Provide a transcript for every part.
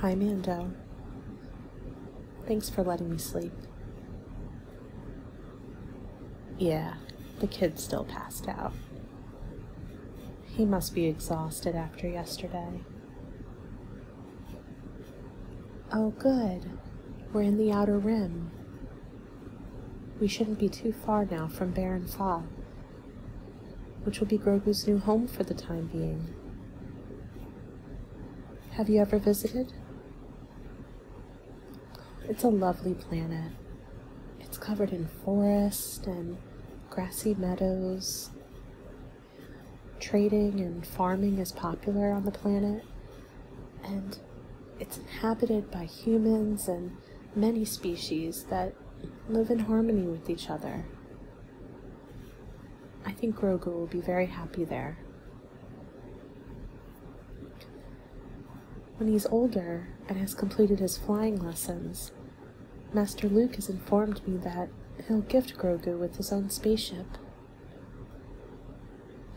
Hi, Mando. Thanks for letting me sleep. Yeah, the kid still passed out. He must be exhausted after yesterday. Oh, good. We're in the outer rim. We shouldn't be too far now from Baron Fog, which will be Grogu's new home for the time being. Have you ever visited? It's a lovely planet. It's covered in forest and grassy meadows. Trading and farming is popular on the planet, and it's inhabited by humans and many species that live in harmony with each other. I think Grogu will be very happy there. When he's older and has completed his flying lessons, Master Luke has informed me that he'll gift Grogu with his own spaceship.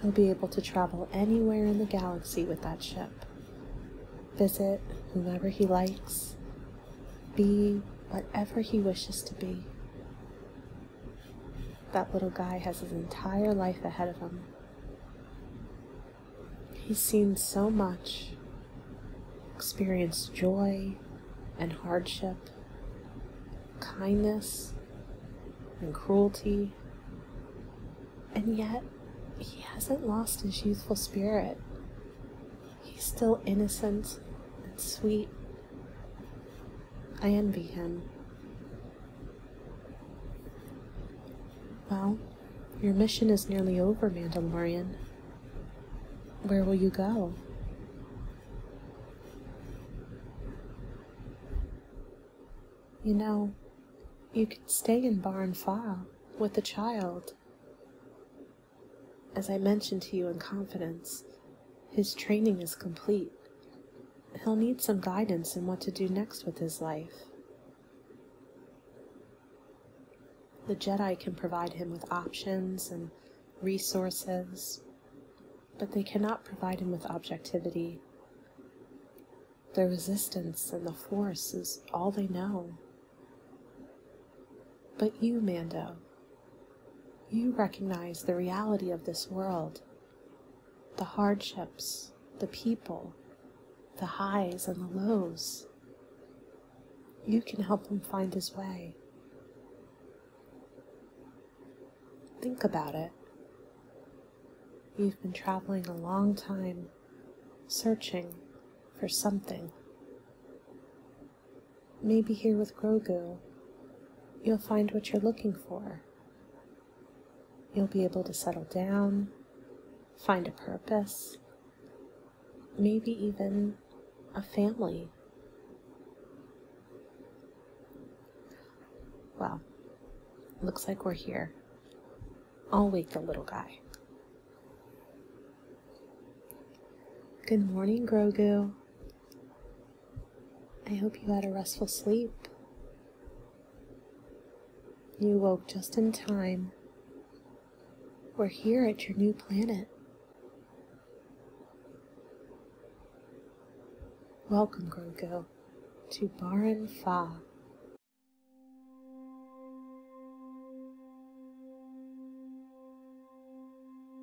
He'll be able to travel anywhere in the galaxy with that ship, visit whomever he likes, be whatever he wishes to be. That little guy has his entire life ahead of him. He's seen so much, experienced joy and hardship, kindness and cruelty, and yet he hasn't lost his youthful spirit. He's still innocent and sweet. I envy him. Well, your mission is nearly over, Mandalorian. Where will you go? You know, you could stay in Barn File with the child. As I mentioned to you in confidence, his training is complete. He'll need some guidance in what to do next with his life. The Jedi can provide him with options and resources, but they cannot provide him with objectivity. The resistance and the force is all they know. But you, Mando, you recognize the reality of this world, the hardships, the people, the highs and the lows. You can help him find his way. Think about it. You've been traveling a long time, searching for something. Maybe here with Grogu, you'll find what you're looking for. You'll be able to settle down, find a purpose, maybe even a family. Well, looks like we're here. I'll wake the little guy. Good morning, Grogu. I hope you had a restful sleep. You woke just in time. We're here at your new planet. Welcome, Grogu, to Baran Fa.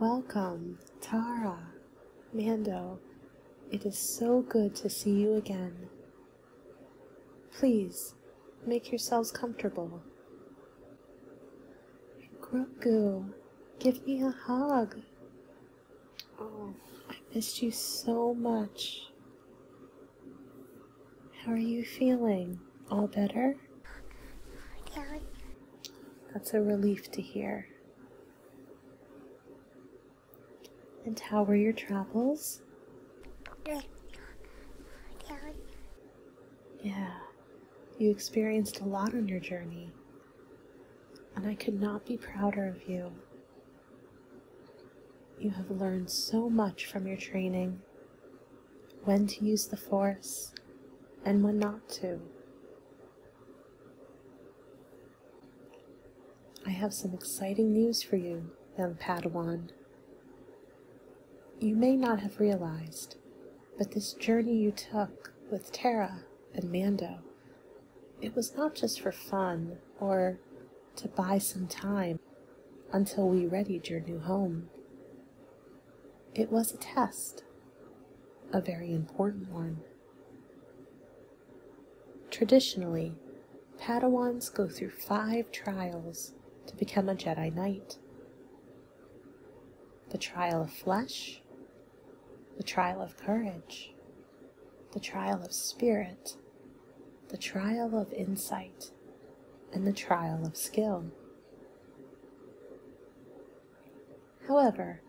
Welcome, Tara, Mando. It is so good to see you again. Please make yourselves comfortable. Grogu, give me a hug. Oh, I missed you so much. How are you feeling? All better? That's a relief to hear. And how were your travels? Yeah, you experienced a lot on your journey, and I could not be prouder of you. You have learned so much from your training when to use the force and when not to. I have some exciting news for you, young Padawan. You may not have realized, but this journey you took with Tara and Mando it was not just for fun or to buy some time until we readied your new home. It was a test, a very important one. Traditionally, Padawans go through five trials to become a Jedi Knight the trial of flesh, the trial of courage, the trial of spirit, the trial of insight, and the trial of skill. However,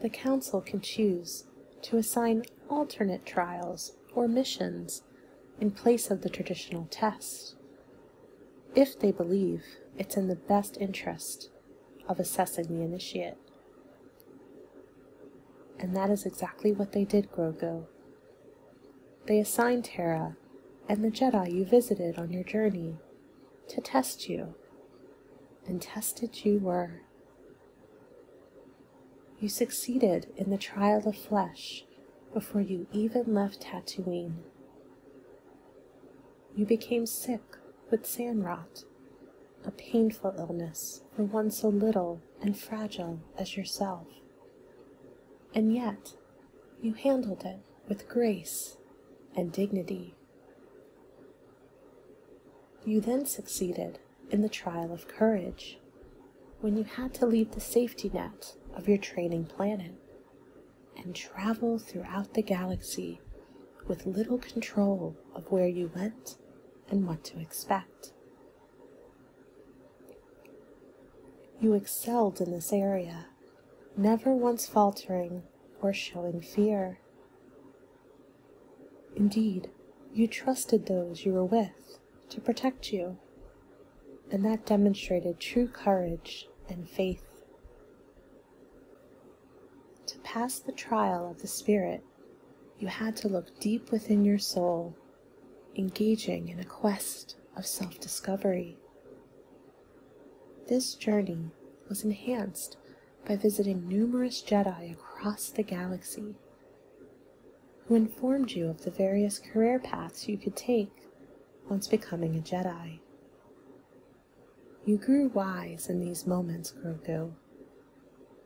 the Council can choose to assign alternate trials or missions in place of the traditional test, if they believe it's in the best interest of assessing the initiate. And that is exactly what they did, Grogu. They assigned Terra and the Jedi you visited on your journey to test you, and tested you were. You succeeded in the trial of flesh before you even left Tatooine. You became sick with sand rot a painful illness for one so little and fragile as yourself. And yet, you handled it with grace and dignity. You then succeeded in the trial of courage when you had to leave the safety net of your training planet and travel throughout the galaxy with little control of where you went and what to expect. You excelled in this area, never once faltering or showing fear. Indeed, you trusted those you were with to protect you, and that demonstrated true courage and faith. To pass the trial of the Spirit you had to look deep within your soul, engaging in a quest of self discovery. This journey was enhanced by visiting numerous Jedi across the galaxy who informed you of the various career paths you could take once becoming a Jedi. You grew wise in these moments, Grogu,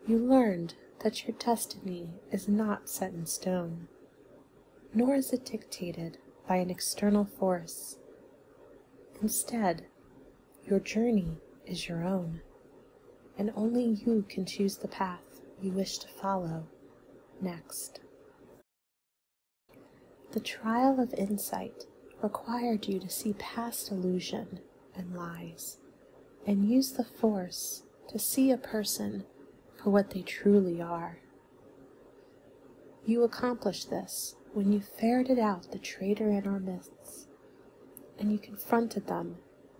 you learned that your destiny is not set in stone, nor is it dictated by an external force. Instead, your journey is your own, and only you can choose the path you wish to follow next. The trial of insight required you to see past illusion and lies and use the force to see a person for what they truly are. You accomplished this when you ferreted out the traitor in our midst, and you confronted them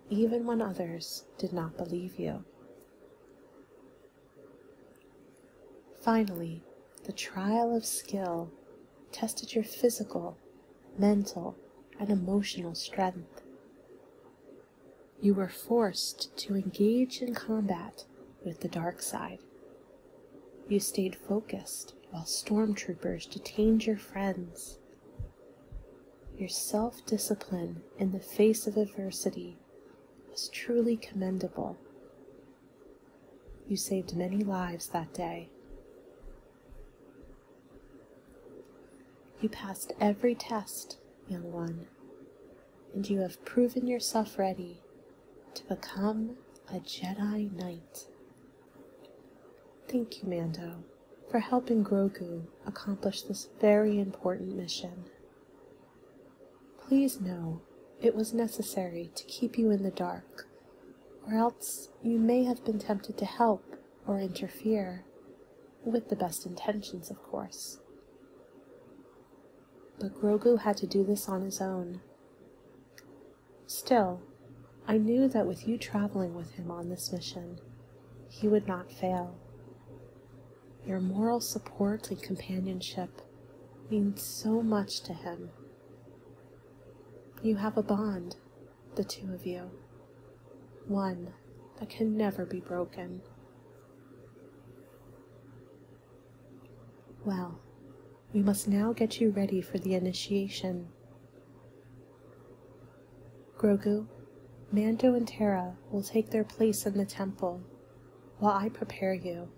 even when others did not believe you. Finally, the trial of skill tested your physical mental, and emotional strength. You were forced to engage in combat with the dark side. You stayed focused while stormtroopers detained your friends. Your self discipline in the face of adversity was truly commendable. You saved many lives that day. You passed every test, young one, and you have proven yourself ready to become a Jedi Knight. Thank you, Mando, for helping Grogu accomplish this very important mission. Please know it was necessary to keep you in the dark, or else you may have been tempted to help or interfere, with the best intentions, of course. But Grogu had to do this on his own. Still, I knew that with you traveling with him on this mission, he would not fail. Your moral support and companionship mean so much to him. You have a bond the two of you. One that can never be broken. Well, we must now get you ready for the initiation. Grogu, Mando, and Tara will take their place in the temple while I prepare you.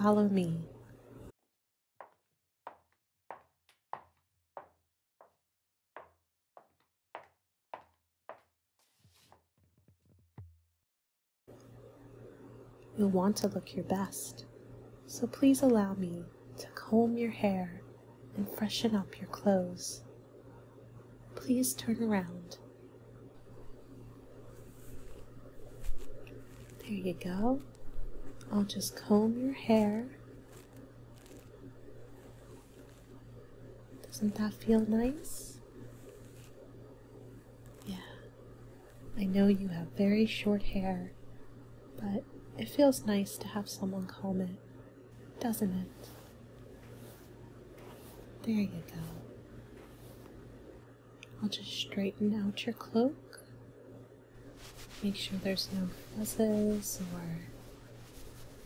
Follow me you want to look your best, so please allow me to comb your hair and freshen up your clothes. Please turn around. There you go. I'll just comb your hair doesn't that feel nice? Yeah. I know you have very short hair, but it feels nice to have someone comb it, doesn't it? There you go. I'll just straighten out your cloak. Make sure there's no fuzzes or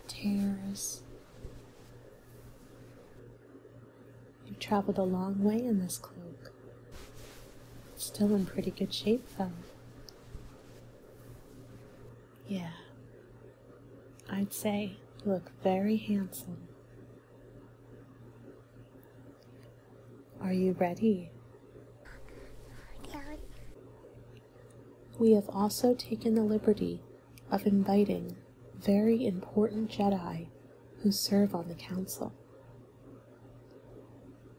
tears. You've traveled a long way in this cloak. still in pretty good shape, though. Yeah, I'd say you look very handsome. Are you ready? We have also taken the liberty of inviting very important Jedi who serve on the Council.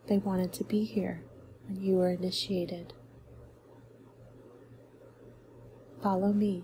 They wanted to be here when you were initiated. Follow me.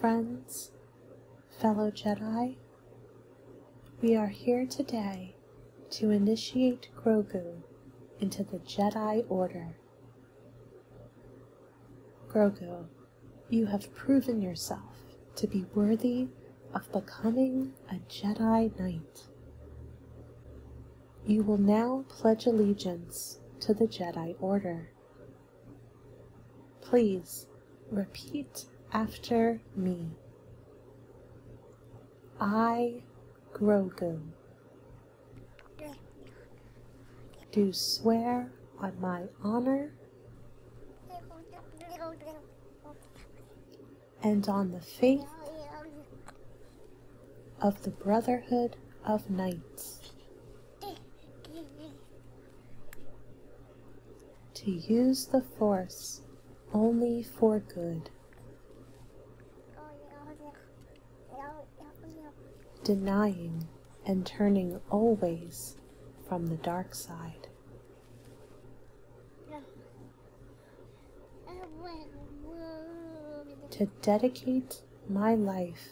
Friends, fellow Jedi, we are here today to initiate Grogu into the Jedi Order. Grogu, you have proven yourself to be worthy of becoming a Jedi Knight. You will now pledge allegiance to the Jedi Order. Please repeat after me. I, Grogu, do swear on my honor and on the faith of the Brotherhood of Knights. To use the Force only for good denying and turning always from the dark side. To dedicate my life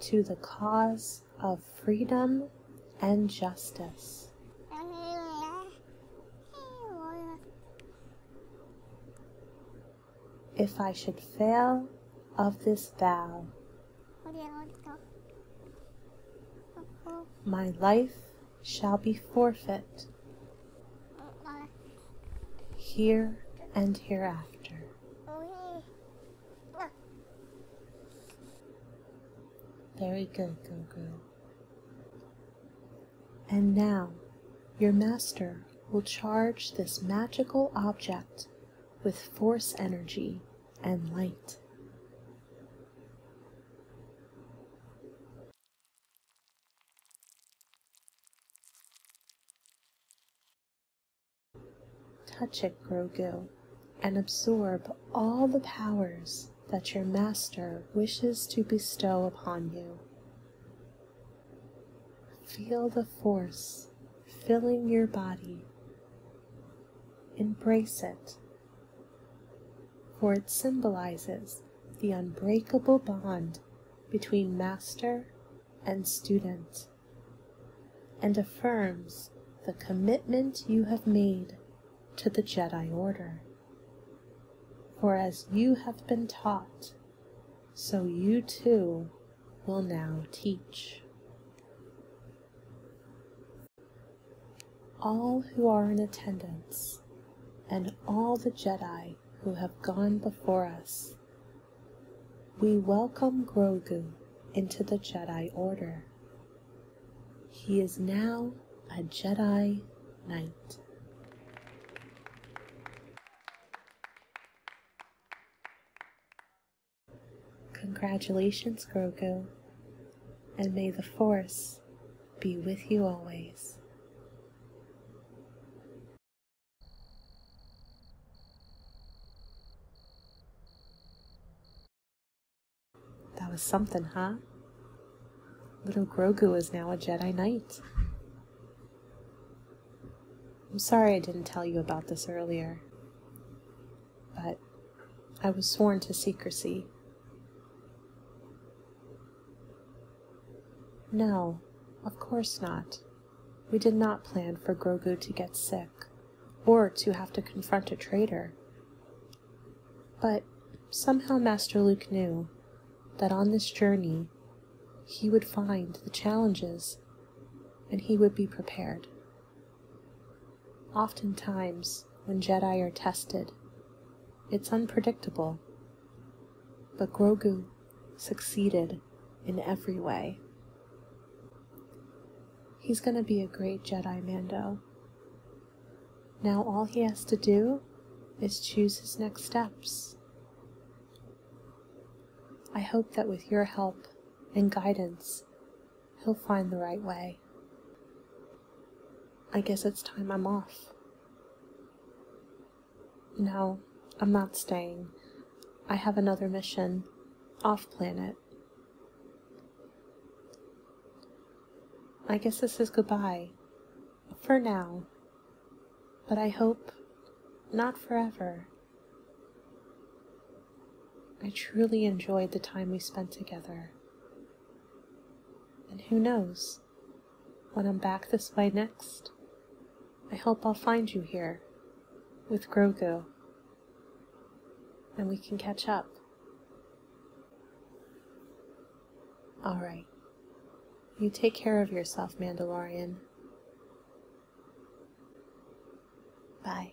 to the cause of freedom and justice. If I should fail of this vow, my life shall be forfeit here and hereafter. Very good, Guru. And now your master will charge this magical object with force energy and light. Touch it, Grogu and absorb all the powers that your master wishes to bestow upon you. Feel the force filling your body. Embrace it, for it symbolizes the unbreakable bond between master and student and affirms the commitment you have made to the Jedi Order. For as you have been taught, so you too will now teach. All who are in attendance and all the Jedi who have gone before us, we welcome Grogu into the Jedi Order. He is now a Jedi Knight. Congratulations, Grogu, and may the Force be with you always. That was something, huh? Little Grogu is now a Jedi Knight. I'm sorry I didn't tell you about this earlier, but I was sworn to secrecy. No, of course not. We did not plan for Grogu to get sick, or to have to confront a traitor, but somehow Master Luke knew that on this journey he would find the challenges and he would be prepared. Oftentimes, when Jedi are tested, it's unpredictable, but Grogu succeeded in every way. He's going to be a great Jedi Mando. Now all he has to do is choose his next steps. I hope that with your help and guidance, he'll find the right way. I guess it's time I'm off. No, I'm not staying. I have another mission off planet. I guess this is goodbye. For now. But I hope not forever. I truly enjoyed the time we spent together. And who knows, when I'm back this way next, I hope I'll find you here with Grogu and we can catch up. All right. You take care of yourself, Mandalorian. Bye.